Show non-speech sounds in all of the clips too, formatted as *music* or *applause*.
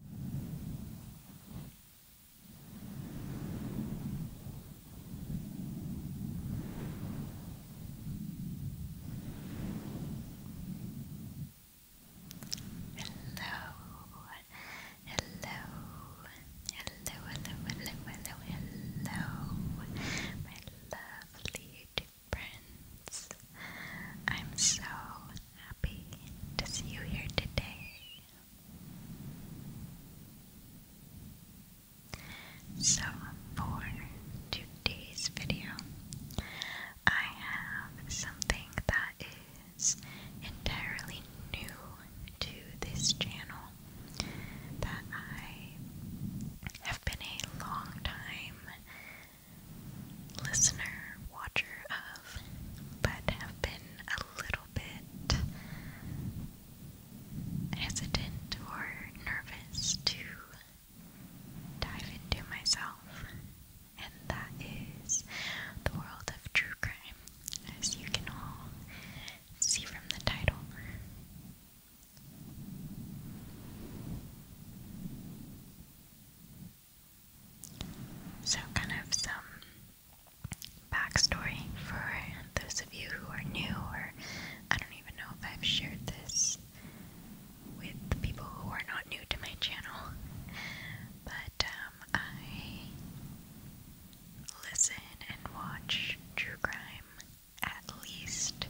hello, hello, hello, hello, my lovely friends. I'm so to see you here today. So, for today's video, I have something that is entirely new to this channel that I have been a long time listener, watcher have, but have been a little bit hesitant or nervous to dive into myself, and that is the world of true crime, as you can all see from the title. So, kind of some backstory for those of you who are new, or I don't even know if I've shared this with people who are not new to my channel, but um, I listen and watch true crime at least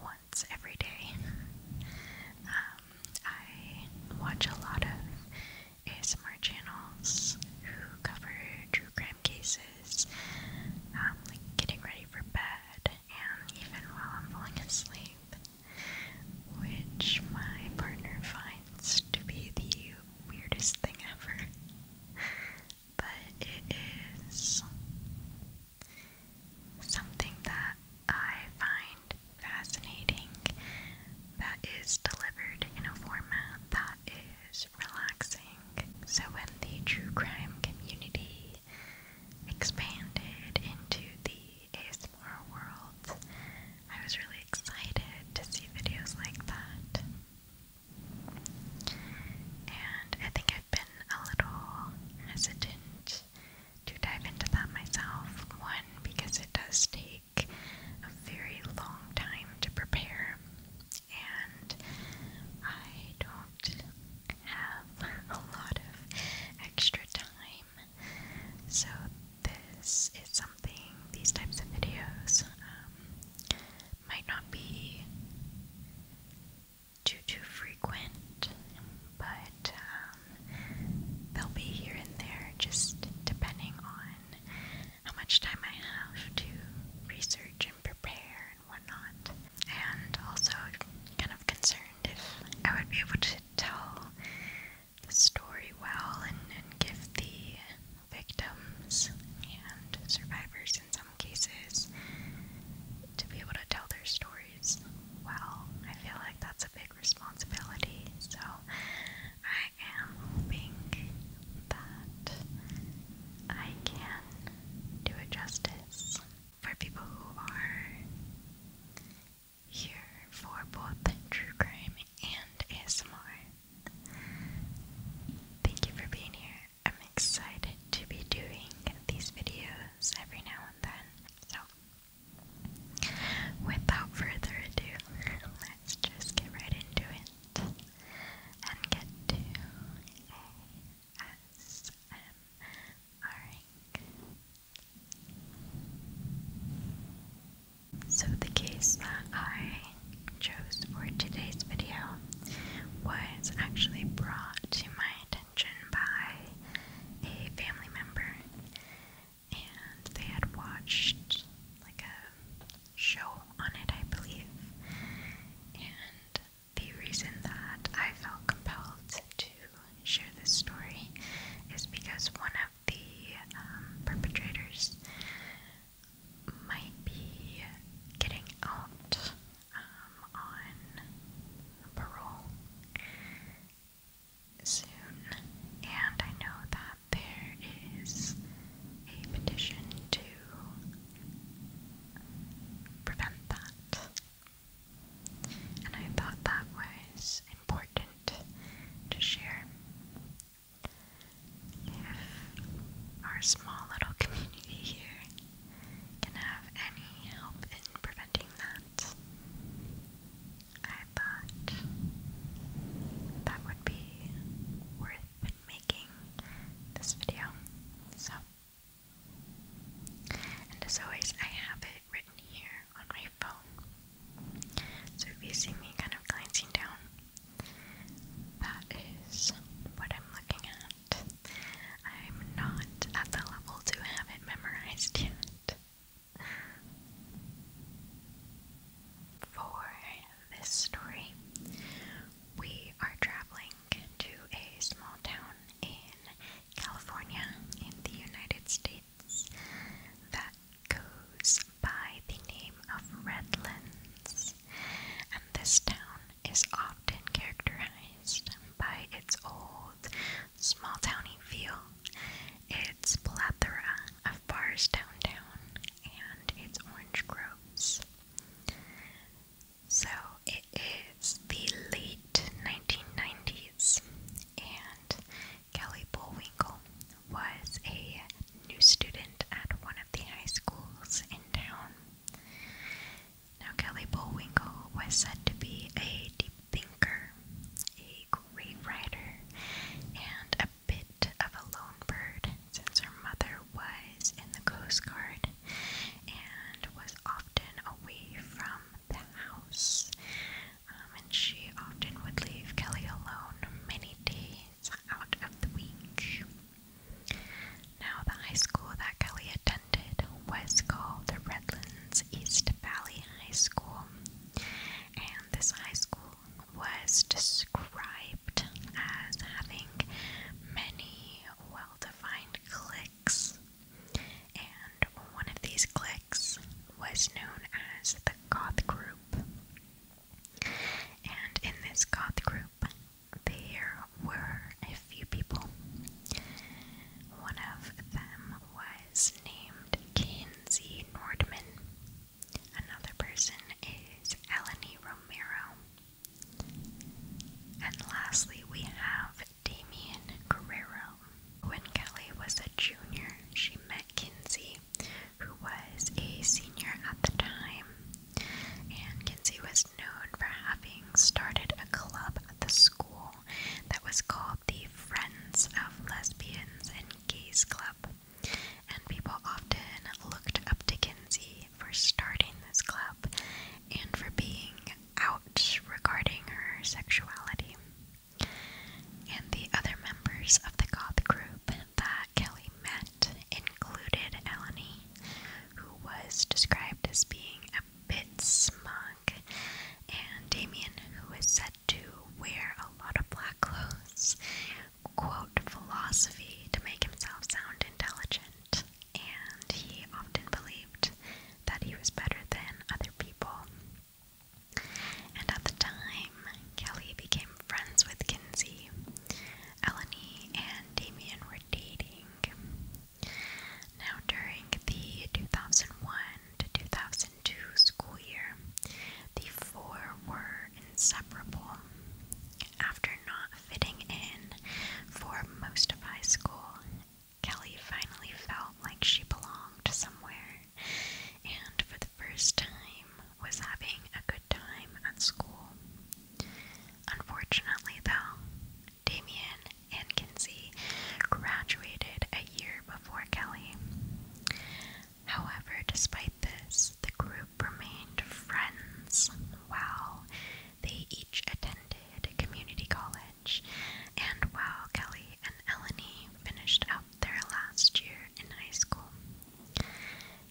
once every day. Um, I watch a lot of ASMR channels who cover true crime cases, um, like getting ready for bed, and even while I'm falling asleep, which my partner finds to be the weirdest thing ever. but it is something that I find fascinating that is delivered in a format that is relaxing. So, when the true crime community expanded into the ASMR world, I was really excited to see videos like that. And I think I've been a little hesitant to dive into that myself. One, because it does take a very long time to prepare, and I don't have *laughs* a lot of extra time. So, this is something, these types of videos um, might not be too, too frequent, but. Um, um, they'll be here and there, just depending on how much time I have to research and prepare and whatnot. And also, kind of concerned if I would be able to tell the story well and, and give the victims and survivors in some cases to be able to tell their stories well. I feel like that's a big responsibility. So I am hoping that I can do it justice for people who are here for both true crime and ASMR. Thank you for being here. I'm excited to be doing these videos every now and then. So Without further ado, let's just get right into it and get to ASMRing. So the case that I chose for today's video was actually brought to my attention by a family member and they had watched like a show on it, I believe. And the reason that I felt compelled to share this story is because one of the um, perpetrators might be getting out um, on parole soon, and I know that there is a petition to prevent that. And I thought that was important to share. If our small little community here can have any help in preventing that, I thought that would be worth making this video. So, and as always, I have it written here on my phone. So if you see me kind of glancing down, that is what I'm looking at. I'm not at the level to have it memorized yet. For this story, we are traveling to a small town in California, in the United States, that goes by the name of Redlands. And this town is often characterized by its old old, small towny feel. It's plethora of bars downtown and it's orange groves. So it is the late 1990s, and Kelly Bullwinkle was a new student at one of the high schools in town. Now, Kelly Bullwinkle was said to be a great thinker, a great writer, and a bit of a lone bird since her mother was in the Coast Guard and was often away from the house. Um, and she often would leave Kelly alone many days out of the week. Now, the high school that Kelly attended was called the Redlands East Valley High School, and this high school was described as having many well defined cliques, and one of these cliques was known as the Goth Group. And in this Goth Group, there were a few people. One of them was named Kinsey Nordman. Another person is Eleni Romero. And lastly, we have Damien Guerrero. When Kelly was a junior, she met Kinsey, who was a senior at the time. And Kinsey was known for having started a club at the school that was called the Friends of Lesbians and Gays Club, and people often looked up to Kinsey for starting this club and for being out regarding her sexuality. And the other members of the goth group that Kelly met included Eleni, who was described as being a bit smug, and Damien, who was said to wear a lot of black clothes, quote, philosophy to make himself sound intelligent, and he often believed that he was better than other people. And at the time, Kelly became friends with Kinsey. Eleni and Damien were dating. Now, during the 2001 to 2002 2002 school year, the four were inseparable. After not fitting in for most of high school, Kelly finally felt like she belonged somewhere and for the first time was having a good time at school. Unfortunately, though, Damien and Kinsey graduated a year before Kelly. However, despite this, the group remained friends while they each attended community college and while Kelly and Eleni finished up their last year in high school.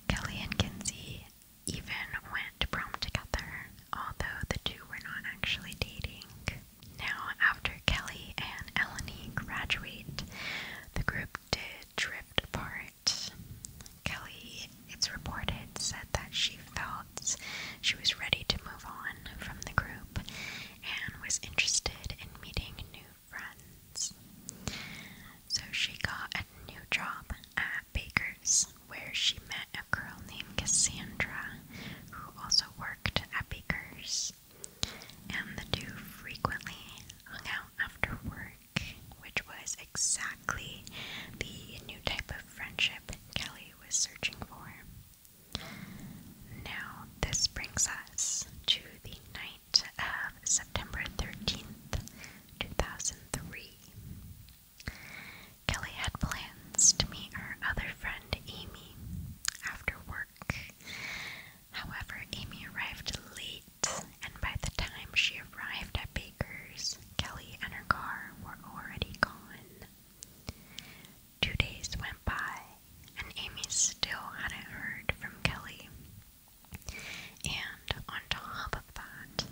Kelly and Kinsey even went prom together, although the two were not actually dating. Now, after Kelly and Eleni graduate, the group did drift apart. Kelly, it's reported, said that she felt she was ready to move on from the group and was interested in meeting new friends. So she got a new job at Baker's, where she met a girl named Cassandra who also worked at Baker's and the two frequently hung out after work, which was exactly the new type of friendship Kelly was searching for. Now, this brings us to the night of September 13th, 2003. Kelly had plans to meet her other friend Amy after work. However, Amy arrived late, and by the time she arrived at Baker's, Kelly and her car were already gone. Two days went by, and Amy still hadn't heard from Kelly. And on top of that,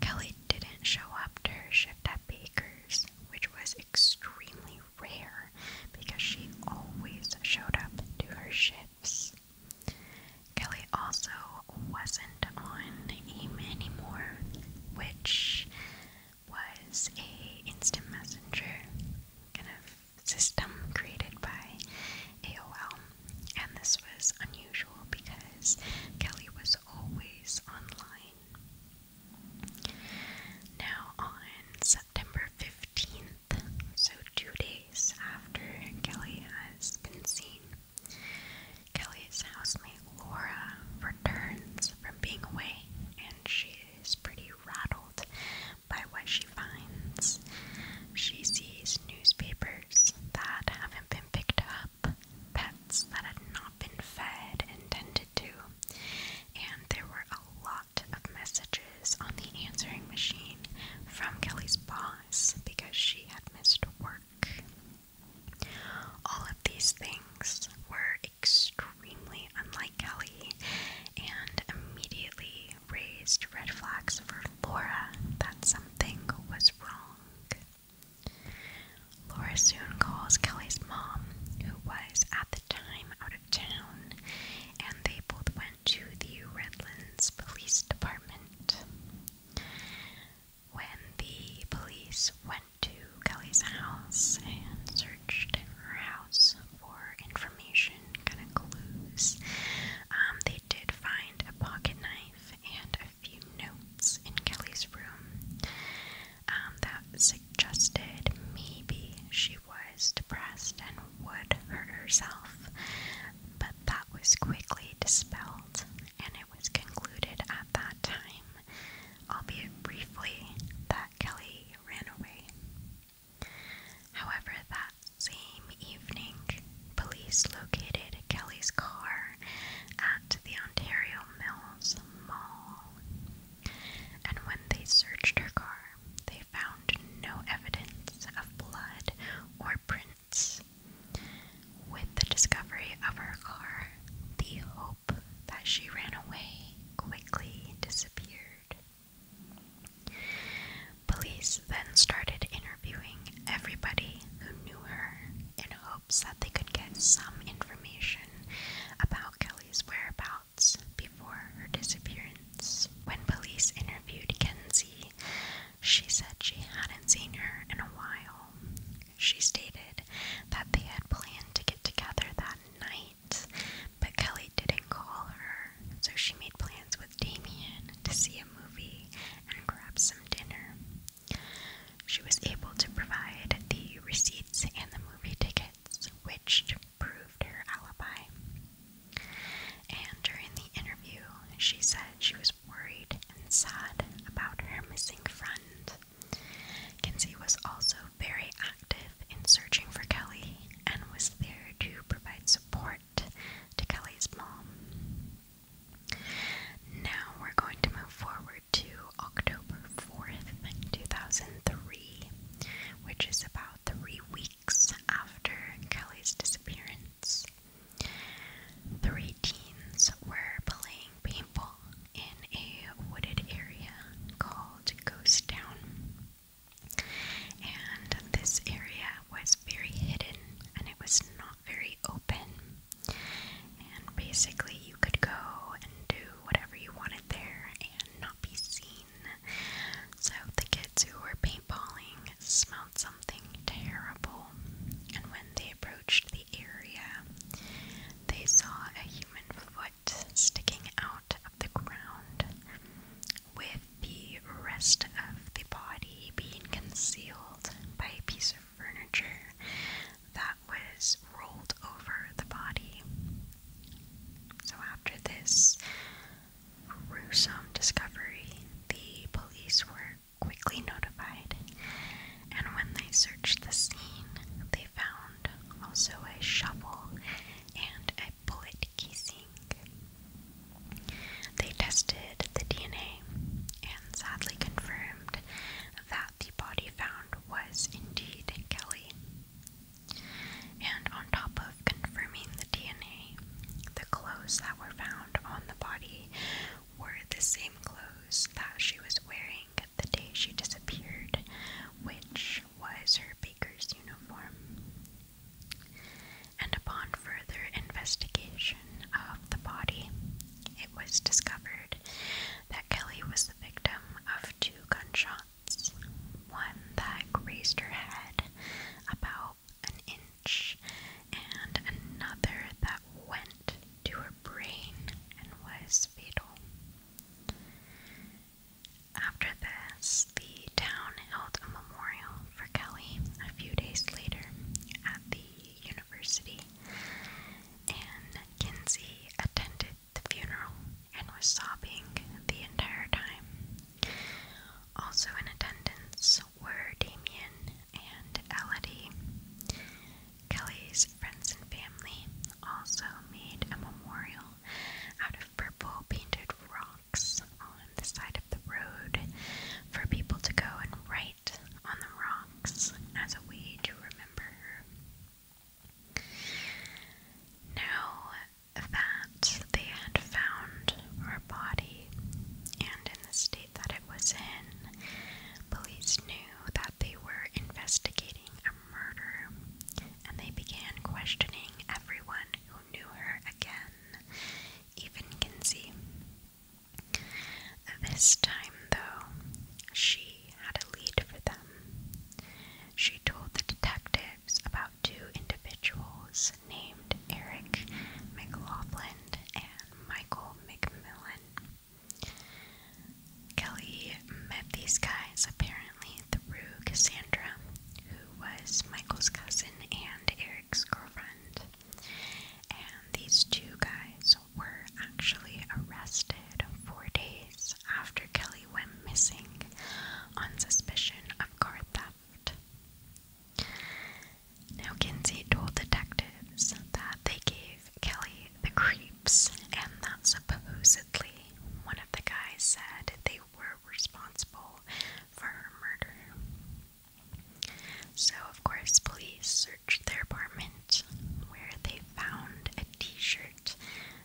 Kelly didn't show up to her shift at Baker's, which was extremely rare because she always showed up to her shifts. Kelly also wasn't on AIM anymore, which was a instant messenger kind of system created by AOL. And this was unusual because Kelly was always online. Now, on September 15th, so two days after Kelly has been seen, Kelly's housemate Laura returns from being away and she is pretty rattled by what she finds. She sees newspapers that haven't been picked up, pets that had not been fed and tended to, and there were a lot of messages on the answering machine from Kelly's boss because she had missed work. All of these things were extremely unlike Kelly and immediately raised red flags for Laura that something was wrong. Laura soon calls Kelly's mom, who was at the time out of town, and they both went to the Redlands Police Department. When the police went to Kelly's house and searched her house for information, kind of clues, um, they did find a pocket knife and a few notes in Kelly's room. Um, that suggested maybe she was depressed and would hurt herself, but that was quickly dispelled, and it was concluded at that time, albeit briefly, that Kelly ran away. However, that same evening, police located Kelly's car at the Ontario Mills Mall and when they searched her car, they found no evidence of blood or prints. With the discovery of her car, the hope that she ran away quickly disappeared. Police then started interviewing everybody who knew her in hopes that they could get some information about Kelly's whereabouts before her disappearance. When police interviewed Kenzie, she said she hadn't seen her in a while. She stated that they had planned to get together that night, but Kelly didn't call her, so she made plans with Damien to see a movie and grab some dinner. She was able to provide the receipts and the movie ticket Switched which proved her alibi. And during the interview, she said she was worried and sad about her missing friend. Kinsey was also very active in searching for Kelly and was there to provide support to Kelly's mom. Now we're going to move forward to October 4th, 2003 which is about three weeks after Kelly's disappearance. Three teens were playing paintball in a wooded area called Ghost Town. And this area was very hidden and it was not very open. And basically, you could go and do whatever you wanted there and not be seen. So the kids who were paintballing smelled something terrible, and when they approached the area, they saw a human foot sticking out of the ground, with the rest of the body being concealed by a piece of furniture that was rolled over the body. So, after this gruesome discovery, the police were quickly notified, and when they searched the scene, they found also a shovel and a bullet casing. They tested the DNA and sadly confirmed that the body found was indeed Kelly. And on top of confirming the DNA, the clothes that were found on the body were the same clothes that she was wearing the day she disappeared, which was her baker's uniform. And upon further investigation of the body, it was discovered that Kelly was the victim of two gunshots knots. One that raised her head about an inch, and another that went to her brain and was fatal. After this, the town held a memorial for Kelly a few days later at the university, and Kinsey attended the funeral and was sobbing the entire time. Also in attendance were Damien and Elodie. Kelly's friends and family also made a memorial out of purple painted rocks on the side of the road for people to go and write on the rocks as a way to remember her. Now that they had found her body and in the state that it was in, police knew that they were investigating a murder and they began questioning everyone who knew her again, even Kinsey. This time, though, she had a lead for them. She told the detective about two individuals named Eric McLaughlin and Michael McMillan. Kelly met these guys apparently through Cassandra, who was Michael's cousin and Eric's girlfriend. And these two guys were actually arrested four days after Kelly went missing on suspicion of car theft. Now, Kinsey told detectives that they gave Kelly the creeps and that supposedly one of the guys said they were responsible for her murder. So, of course, police searched their apartment where they found a t shirt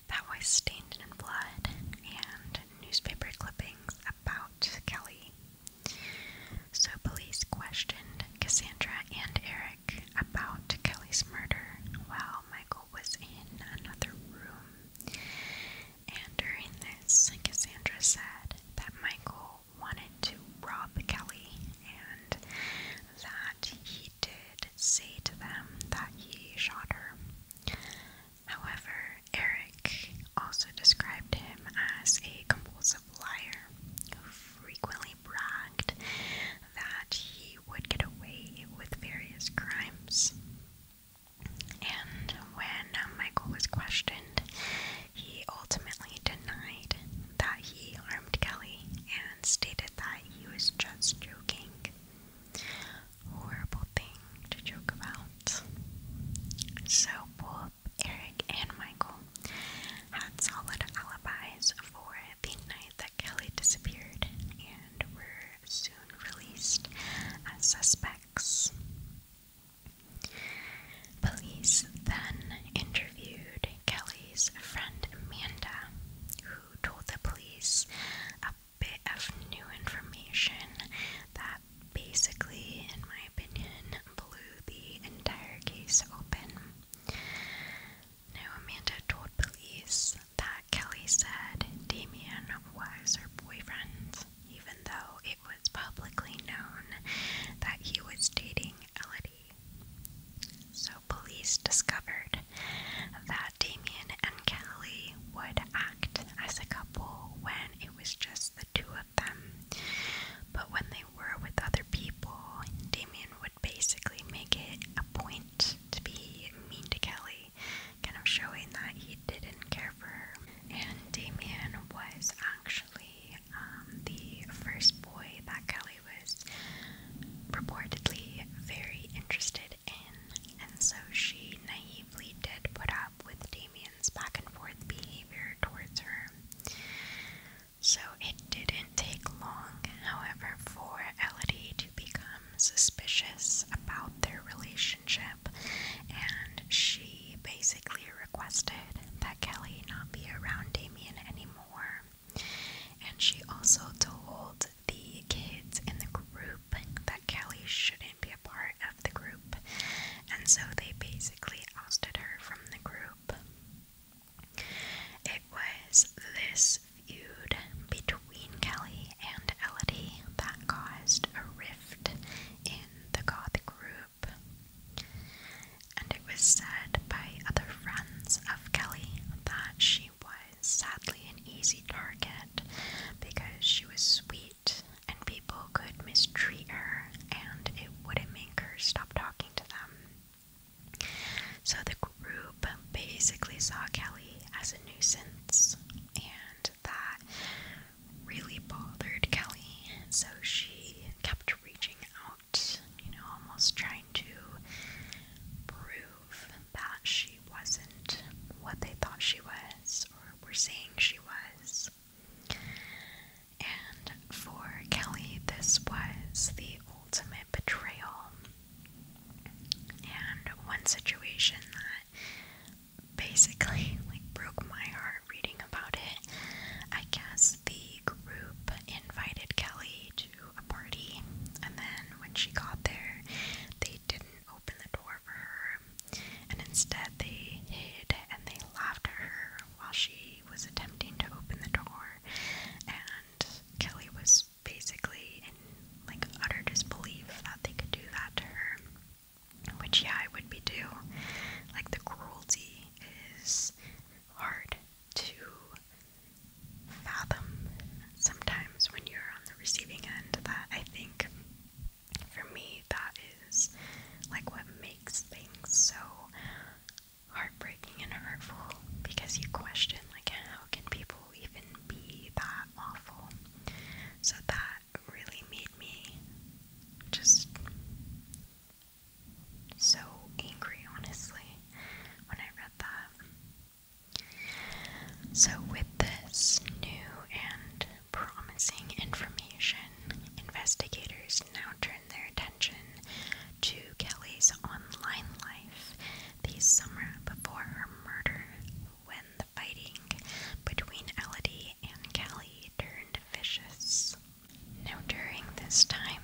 that was stained in blood and newspaper clippings about Kelly. So police questioned Cassandra and Eric about Kelly's murder while Michael was in another room. And during this, Cassandra said that Michael wanted to rob Kelly and that he did say to them that he shot her. However, Eric also described him as a compulsive liar who frequently bragged that he would get away with various crimes. And when Michael was questioned, he ultimately denied that he harmed Kelly and stated that he was just joking horrible thing to joke about. So both Eric and Michael had solid alibis for the night that Kelly disappeared and were soon released as suspects. Police then interviewed Kelly's friend Amanda, who told the police bit of new information that basically, in my opinion, blew the entire case open. Now, Amanda told police that Kelly said Damien was her boyfriend, even though it was publicly known that he was dating Elodie. So, police discovered that Damien and Kelly would act as a couple when it was just the two of them. But when they were with other people, Damien would basically make it a point to be mean to Kelly, kind of showing that he didn't care for her. And Damien was actually um, the first boy that Kelly was reportedly very interested and so she naively did put up with Damien's back and forth behavior towards her. So it didn't take long, however, for Elodie to become suspicious about their relationship, and she basically requested that Kelly not be around Damien anymore. And she also told told the kids in the group that Kelly shouldn't be a part of the group, and so they basically ousted her from the group. It was this feud between Kelly and Elodie that caused a rift in the Gothic group. And it was said by other friends of Kelly that she sadly an easy target because she was sweet and people could mistreat her and it wouldn't make her stop talking to them. So the group basically saw Kelly as a nuisance and that really bothered Kelly, so she kept reaching out, you know, almost trying to prove that she wasn't what they thought she was or were saying she was. And for Kelly, this was the ultimate betrayal. And one situation that basically like broke my heart reading about it. I guess the group invited Kelly to a party, and then when she got there, they didn't open the door for her, and instead they hid and they laughed at her while she was attempting to open the door. And Kelly was basically in like utter disbelief that they could do that to her, which, yeah, I would be too. Like, the cruelty is hard to fathom sometimes when you're on the receiving end that I think for me that is like what makes things so heartbreaking and hurtful because you question like how can people even be that awful so that really made me just so angry honestly when I read that so, with this new and promising information, investigators now turn their attention to Kelly's online life the summer before her murder, when the fighting between Elodie and Kelly turned vicious. Now, during this time,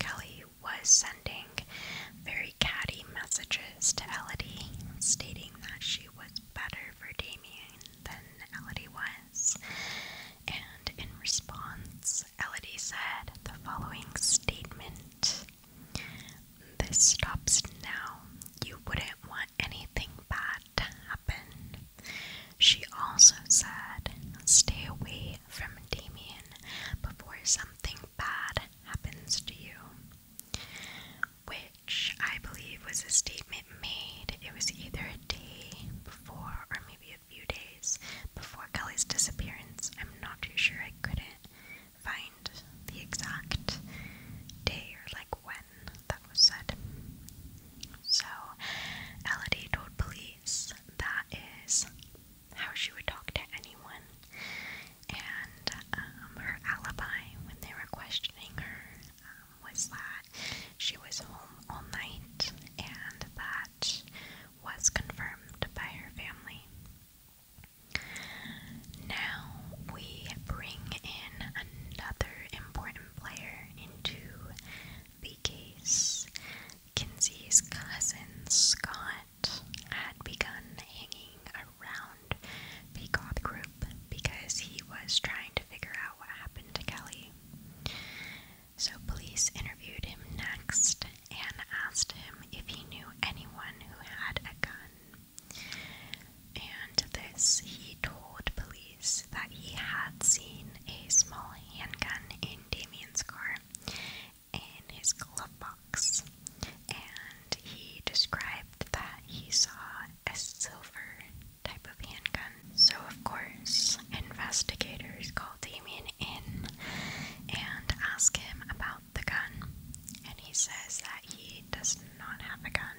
Kelly was sending very catty messages to Elodie, stating that she was better for Damien than Elodie was. And in response, Elodie said the following statement This stops now. You wouldn't want anything bad to happen. She also said, Stay away from Damien before something bad happens to you which I believe was a statement made. It was either a day before or maybe a few days before Kelly's disappearance. I'm not too sure. I couldn't find the exact day or like when that was said. So, Elodie told police that is how she would talk to anyone and um, her alibi when they were questioning her um, was that she was home all night, and that was confirmed by her family. Now we bring in another important player into the case. Kinsey's cousin Scott had begun hanging around the goth group because he was trying to figure out what happened to Kelly. So, police interviewed him next and asked him if he knew anyone who had a gun. And this, he told police that he had seen a small handgun in Damien's car in his glove box, and he described that he saw a silver type of handgun. So, of course, investigators called Damien in and asked him about the gun, and he says that he does not have a gun.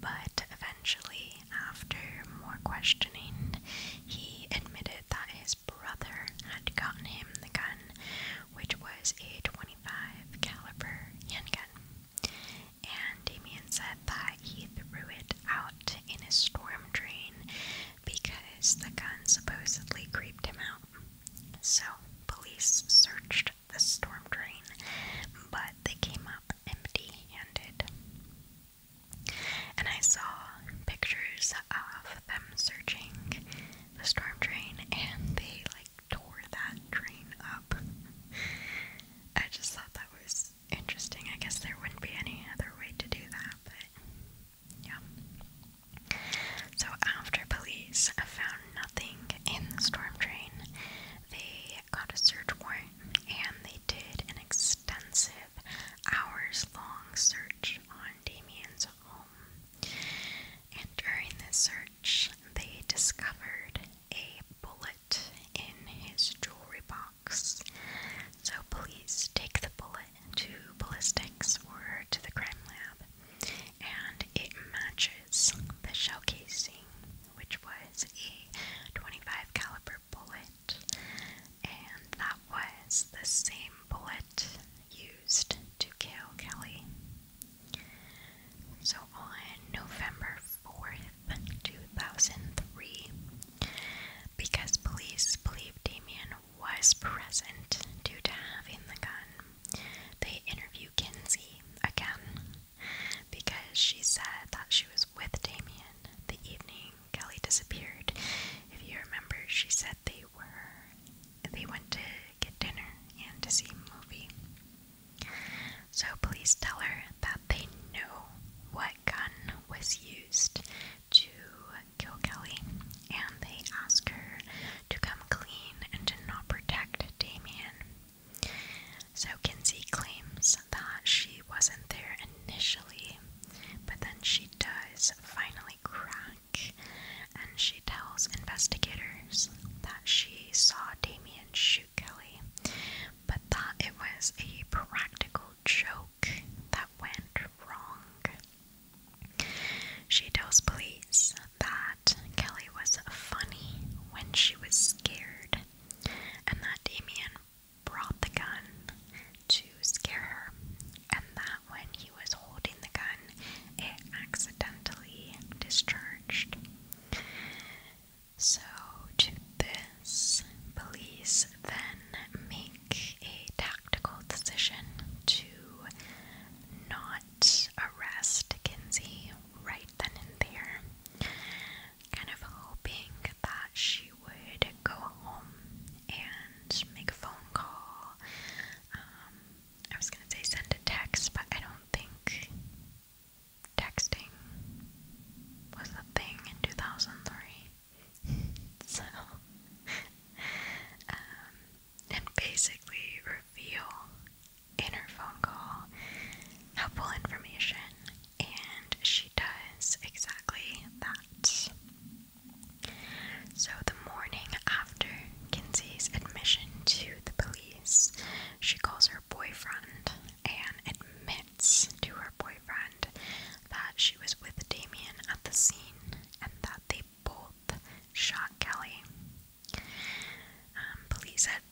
But eventually, after more questioning, he admitted that his brother had gotten him the gun which was a 25 caliber handgun. And Damien said that he threw it out in a storm drain because the gun supposedly creeped him out. So police searched the storm drain, but they came up empty-handed. And I saw pictures of them searching the storm train, and they like tore that train up. I just thought that was interesting. I guess there wouldn't be any other way to do that, but yeah. So after police found nothing in the storm train, they got a search warrant and they did an extensive hours long search on Damien's home. And during this search, they discovered a bullet in his jewelry box. So, police take the bullet to ballistics or to the crime lab, and it matches the shell casing, which was a 25 caliber bullet, and that was the same bullet. you to kill Kelly. So on November 4th, 2003, because police believed Damien was present due to having the gun, they interview Kinsey again because she said that she was with Damien the evening Kelly disappeared. If you remember, she said they were they went to get dinner, and to see a movie. So please tell her that they know what gun was used to kill Kelly, and they ask her to come clean and to not protect Damien. So Kinsey claims that she wasn't there initially, but then she does finally cry and she tells investigators that she saw Damien shoot Kelly, but that it was a practical joke that went wrong. She tells police that Kelly was funny when she was scared, and that Damien brought the gun to scare her, and that when he he was holding the gun, it accidentally discharged. So, to this, police then make a tactical decision to not arrest Kinsey right then and there, kind of hoping that she would go home and make a phone call, um, I was gonna say send a text, but I don't think texting was a thing in 2003. *laughs* so, um, and basically reveal inner phone call helpful information, and she does exactly that. So, the morning after Kinsey's admission to the police, she calls her boyfriend and admits to her boyfriend that she was with Damien at the scene and that they both shot Kelly. Um, police had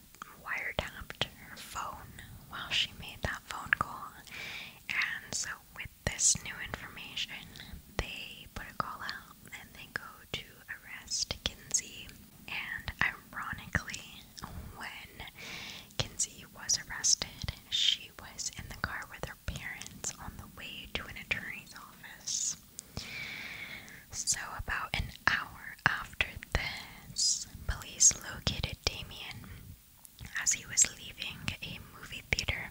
wiretapped her phone while she made that phone call, and so with this new information, they put a call out and they go to arrest Kinsey. And ironically, when Kinsey was arrested, she was in the car with her parents on the way to an attorney's office. So, about an hour after this, police located Damien as he was leaving a movie theater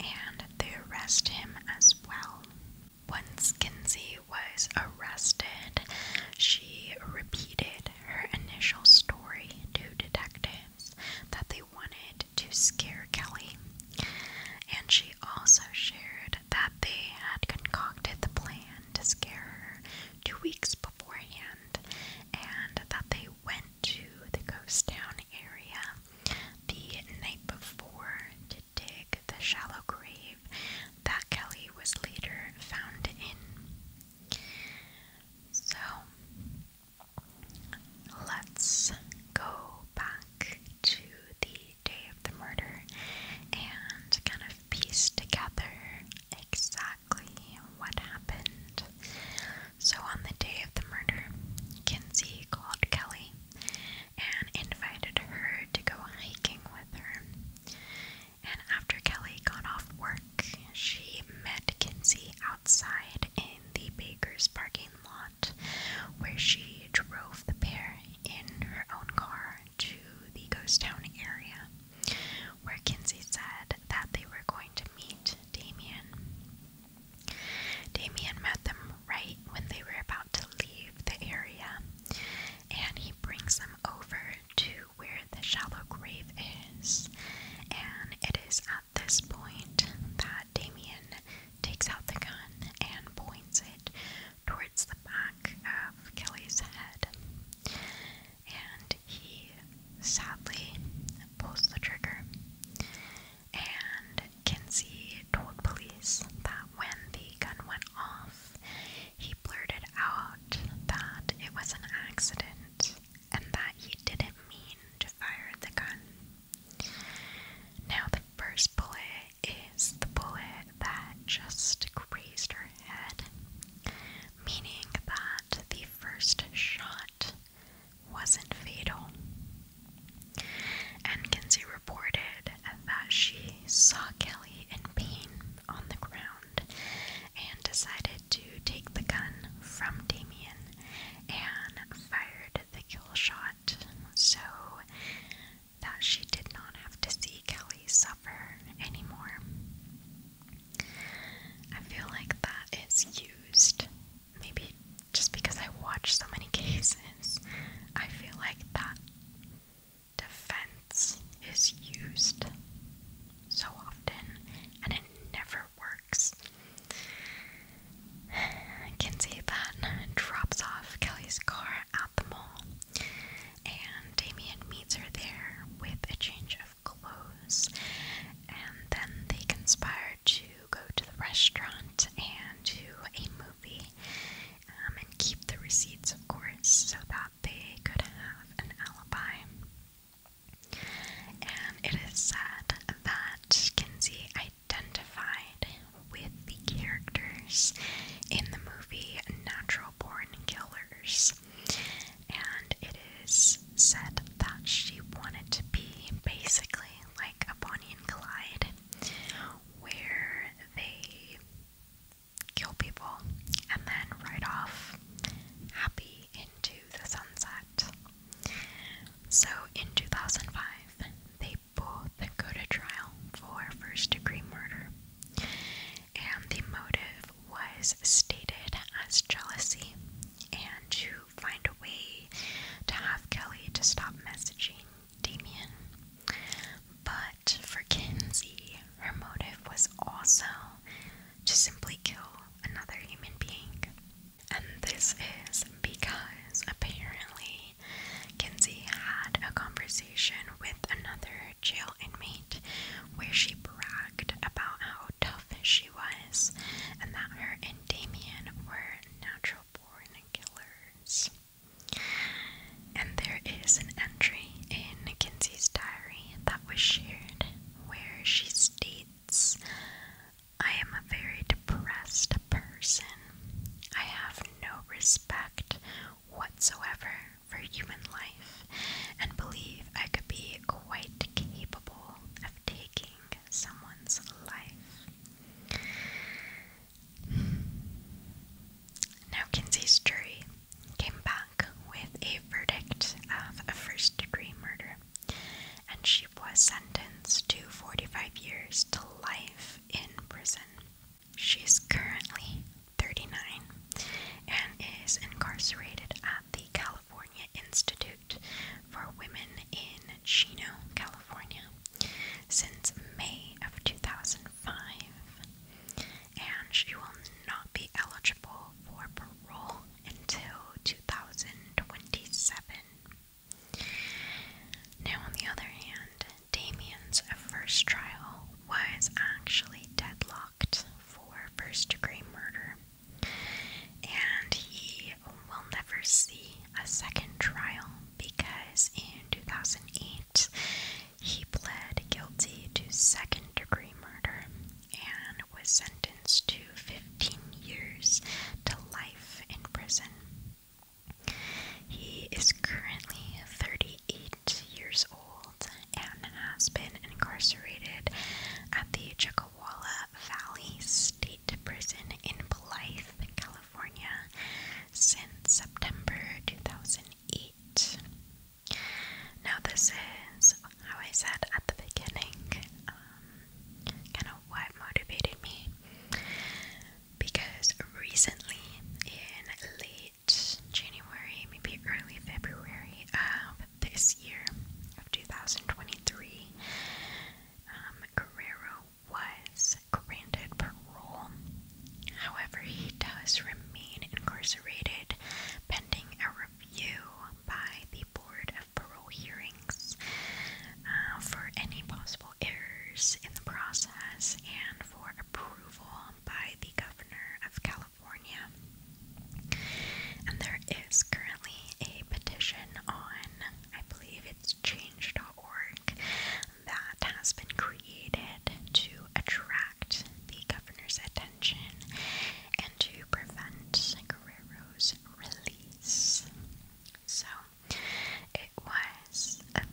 and they arrest him as well. When Kinsey was arrested, she repeated her initial story to detectives that they wanted to scare Kelly. And she also shared that they had concocted the plan to scare her two weeks beforehand and that they went to the ghost town area the night before dig the shallow grave that Kelly was later found in. So, let's go back to the day of the murder and kind of piece together exactly what happened. So, on the day of the murder, Kinsey called Kelly and invited her to go hiking with her. And after Kelly got off work, she met Kinsey outside in the baker's parking lot, where she drove the pair in her own car to the ghost town area, where Kinsey said that they were going to meet Damien. Damien met them right when they were about to leave the area, and he brings them over to where the shallow grave is. And it is at this point that Damien takes out the gun and points it towards the back of Kelly's head. And he sadly pulls the trigger and Kinsey told police that when the gun went off, he blurted out that it was an accident and that he didn't mean to fire the gun. Now, the first bullet is the bullet that just grazed her head, meaning that the first shot wasn't fatal. And Kinsey reported that she saw Kelly in pain on the ground and decided to take the gun from Damien and fired the kill shot so that she did not have to see Kelly suffer anymore. I feel like that is used maybe just because I watch so many cases, I feel like that defense is used so often and it never works. Kinsey then drops off Kelly's car at the mall, and Damien meets her there with a change of clothes, and then they conspire to go to the restaurant and to a um, and keep the receipts, of course, so that they could have an alibi. And it is said that Kinsey identified with the characters in the movie Natural Born Killers. And it is said that she wanted to be basically like a Bonnie and Clyde, where they kill people and then ride off happy into the sunset. So in 2005, they both go to trial for first degree murder, and the motive was stated as jealousy and to find a way to have Kelly to stop messaging Damien. But for Kinsey, her motive was also to simply kill another human being. And this is because apparently Kinsey had a conversation with another jail inmate where she bragged about how tough she was and that her and Damien were natural Killers. And there is an entry in Kinsey's diary that was shared where she states, I am a very depressed person. I have no respect whatsoever for human life and believe I could be quite capable of taking someone's life. Now, Kinsey's jury came back with a verdict of a first degree murder, and she was sentenced to 45 years to life in prison. She's currently 39 and is incarcerated at the California Institute for Women in Chino, California since May of 2005, and she will not be eligible for parole until 2027. Now, on the other hand, Damien's first trial was actually deadlocked for first degree murder, and he will never see a second trial because in 2008 he pled guilty to second degree murder and was sentenced to 15 years to life in prison. He is currently 38 years old and has been incarcerated at the Chukawalla Valley State Prison in Blythe, California since September 2008. Now, this is how I said at the beginning, um, kind of what motivated me because recently in late January, maybe early February of this year of 2023, um, was granted parole. However, he does remain incarcerated pending a review by the Board of Parole Hearings uh, for any possible errors in the process and for approval by the Governor of California. And there is currently a petition on, I believe it's change.org org that has been created to attract the governor's attention and to prevent Guerrero's release. So it was that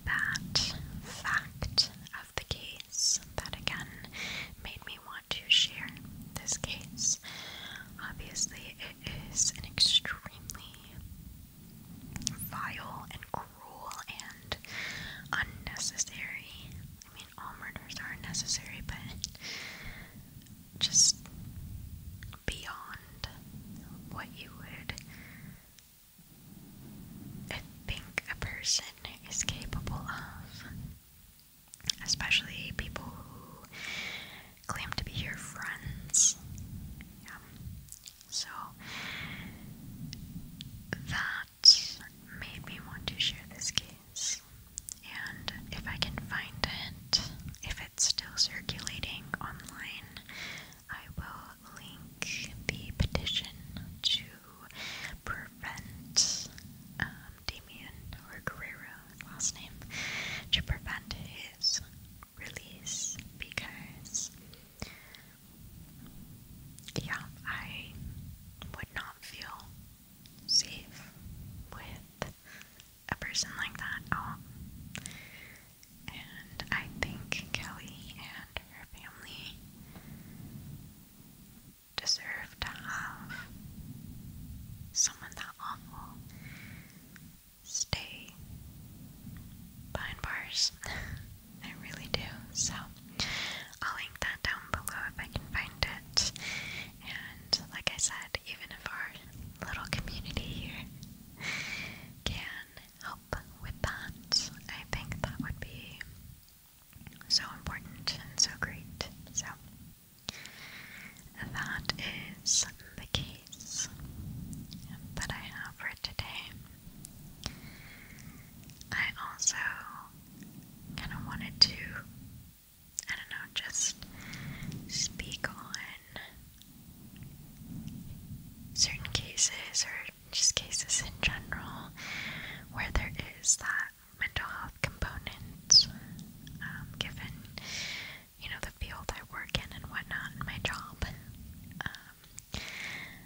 fact of the case that again made me want to share this case. Obviously, it is an extremely vile and cruel and unnecessary. I mean, all murders are necessary, but just beyond what you would think a person is capable of. Especially people who claim to be your friends. Yeah. So that made me want to share this case. And if I can find it, if it's still circulating online, I will link the petition to prevent um, or Guerrero, last name, to prevent his this release because, yeah, I would not feel safe with a person like that out. And I think Kelly and her family deserve to have someone that awful stay behind bars. *laughs* I really do. So I'll link that down below if I can find it. And like I said, even if our little community here can help with that, I think that would be so important and so great. So that is the game that I have for today. I also kind of wanted to, I don't know, just speak on certain cases or just cases in general where there is that mental health component um, given you know, the field I work in and whatnot, in my job. Um,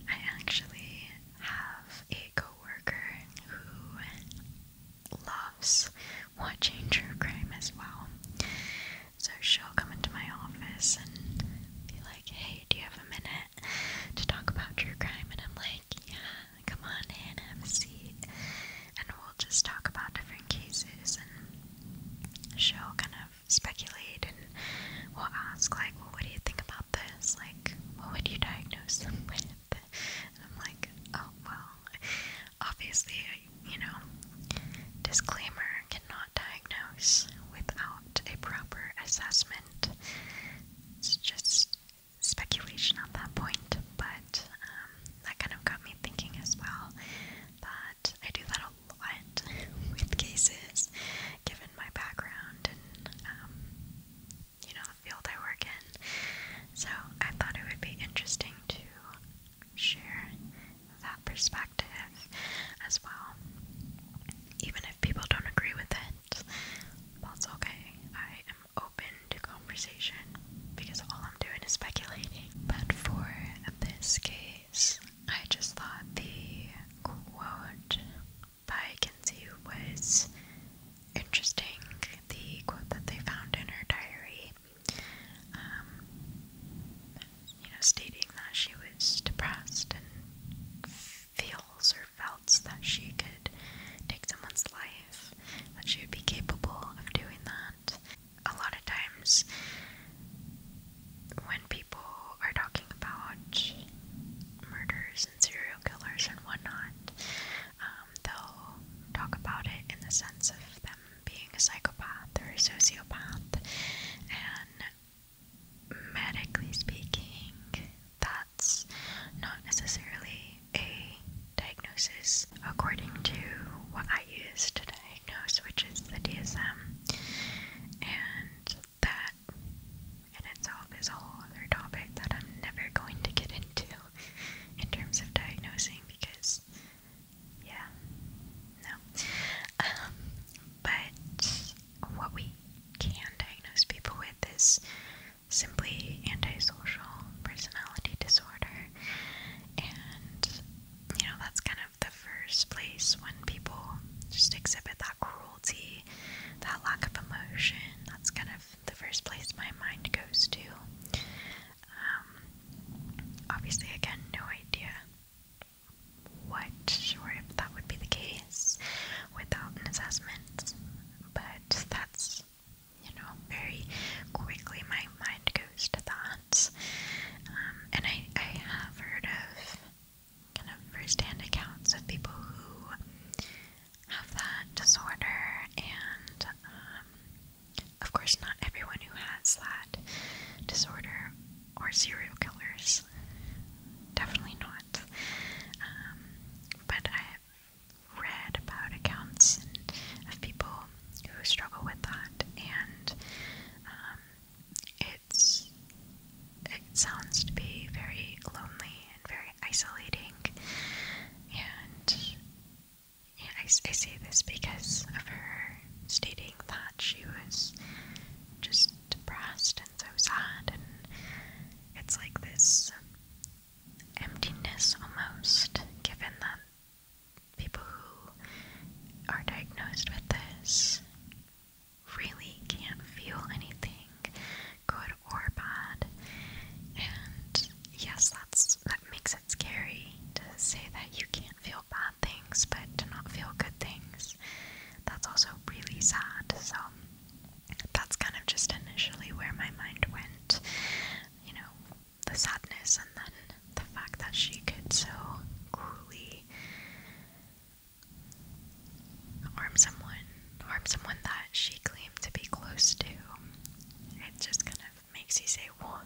I actually have a coworker who loves watching true crime as well. So she'll come into my office and be like, hey, do you have a minute to talk about true crime? And I'm like, yeah, come on in, have a seat. And we'll just talk about different cases and she'll kind of speculate and we'll ask, like, what do you think about this? Like, what would you diagnose them with? And I'm like, oh, well, obviously, you know, disclaimer cannot diagnose without a proper assessment. It's just speculation at that point, but um, that kind of got me thinking as well that I do that a lot *laughs* with cases, given my background and, um, you know, the field I work in. So I thought it would be interesting to share that perspective as well. Even if people don't agree with it, that's okay. I am open to conversation because all I'm doing is speculating. But for this case, I just thought the quote by Kinsey was interesting. The quote that they found in her diary, um, you know, stating that she was depressed and feels or felt that she could take someone's life, that she would be capable of doing that a lot of times when people are talking about murders and serial killers and whatnot, um, they'll talk about it in the sense of them being a psychopath or a sociopath, and medically speaking, that's not necessarily a diagnosis according to what I use today diagnose, which is the DSM, and that in itself is a whole other topic that I'm never going to get into in terms of diagnosing because, yeah, no. Um, but what we can diagnose people with is simply antisocial personality disorder, and you know, that's kind of the first place when people just exhibit that cruelty, that lack of emotion. That's kind of the first place my mind goes to. Um, obviously, again, no idea what or if that would be the case without an assessment, but that's, you know, very quickly my mind goes to that. Um, and I, I have heard of kind of firsthand accounts of people who have that disorder, and um, of course, not everyone who has that disorder or serial killers. Definitely not. Um, but I've read about accounts of people who struggle with that, and it's it sounds to be very lonely and very isolating and yeah, I, I say this because of her stating that she was just depressed and so sad and it's like this emptiness almost given that people who are diagnosed with this really can't feel anything, good or bad. And yes, that's that makes it scary to say that you can't feel bad things, but to not feel good things. That's also really sad. So that's kind of just initially where my mind went, you know, the sadness and then the fact that she could so cruelly harm someone, harm someone that she claimed to be close to, it just kind of makes you say, well,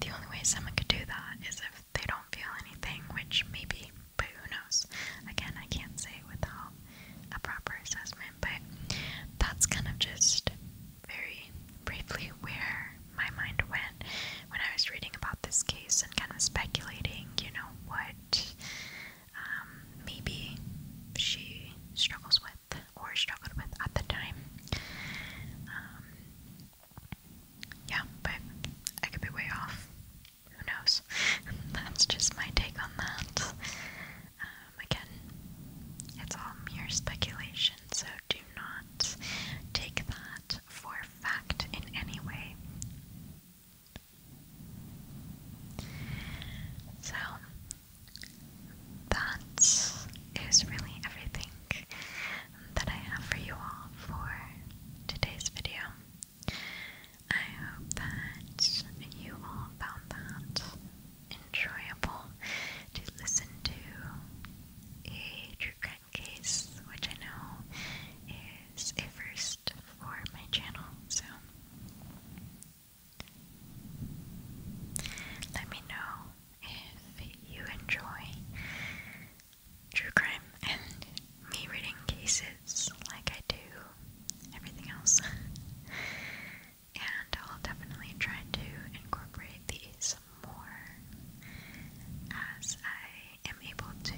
the only way someone could do that is if they don't feel anything, which maybe, but who knows? Again, I can't say without a proper assessment, but that's kind of just very briefly where my mind went when I was reading about this case and kind of speculating, you know, what um, maybe she struggles with or struggled with at the time. Um, yeah, but I could be way off. Who knows? *laughs* That's just my take on that. Um, again, it's all mere speculation so do not take that for fact in any way. So, that is really everything that I have for you all for today's video. I hope that you all found that enjoyable to listen to a true crime case, which I know is a first for my channel, so let me know if you enjoy true crime and me reading cases like I do everything else. *laughs* and I'll definitely try to incorporate these more as I am able to,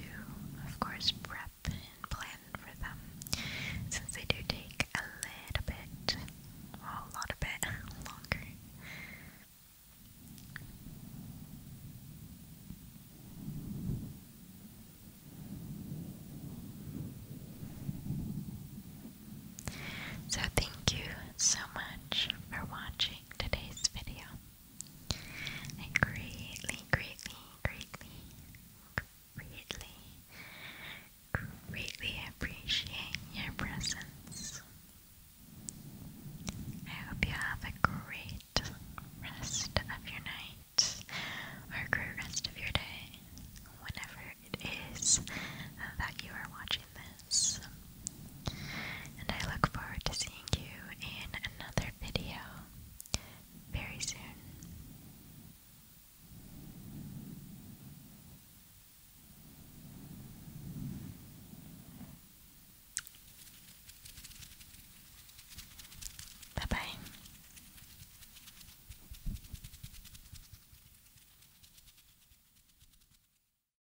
of course, prep and plan for them since they do take a little bit, well, a lot of bit *laughs* longer. So, thank you so much for watching watching today's video. I greatly, greatly, greatly, greatly, greatly appreciate your presence. I hope you have a great rest of your night or a great rest of your day, whenever it is that you are watching and I look forward to seeing you in another video very soon. Bye bye.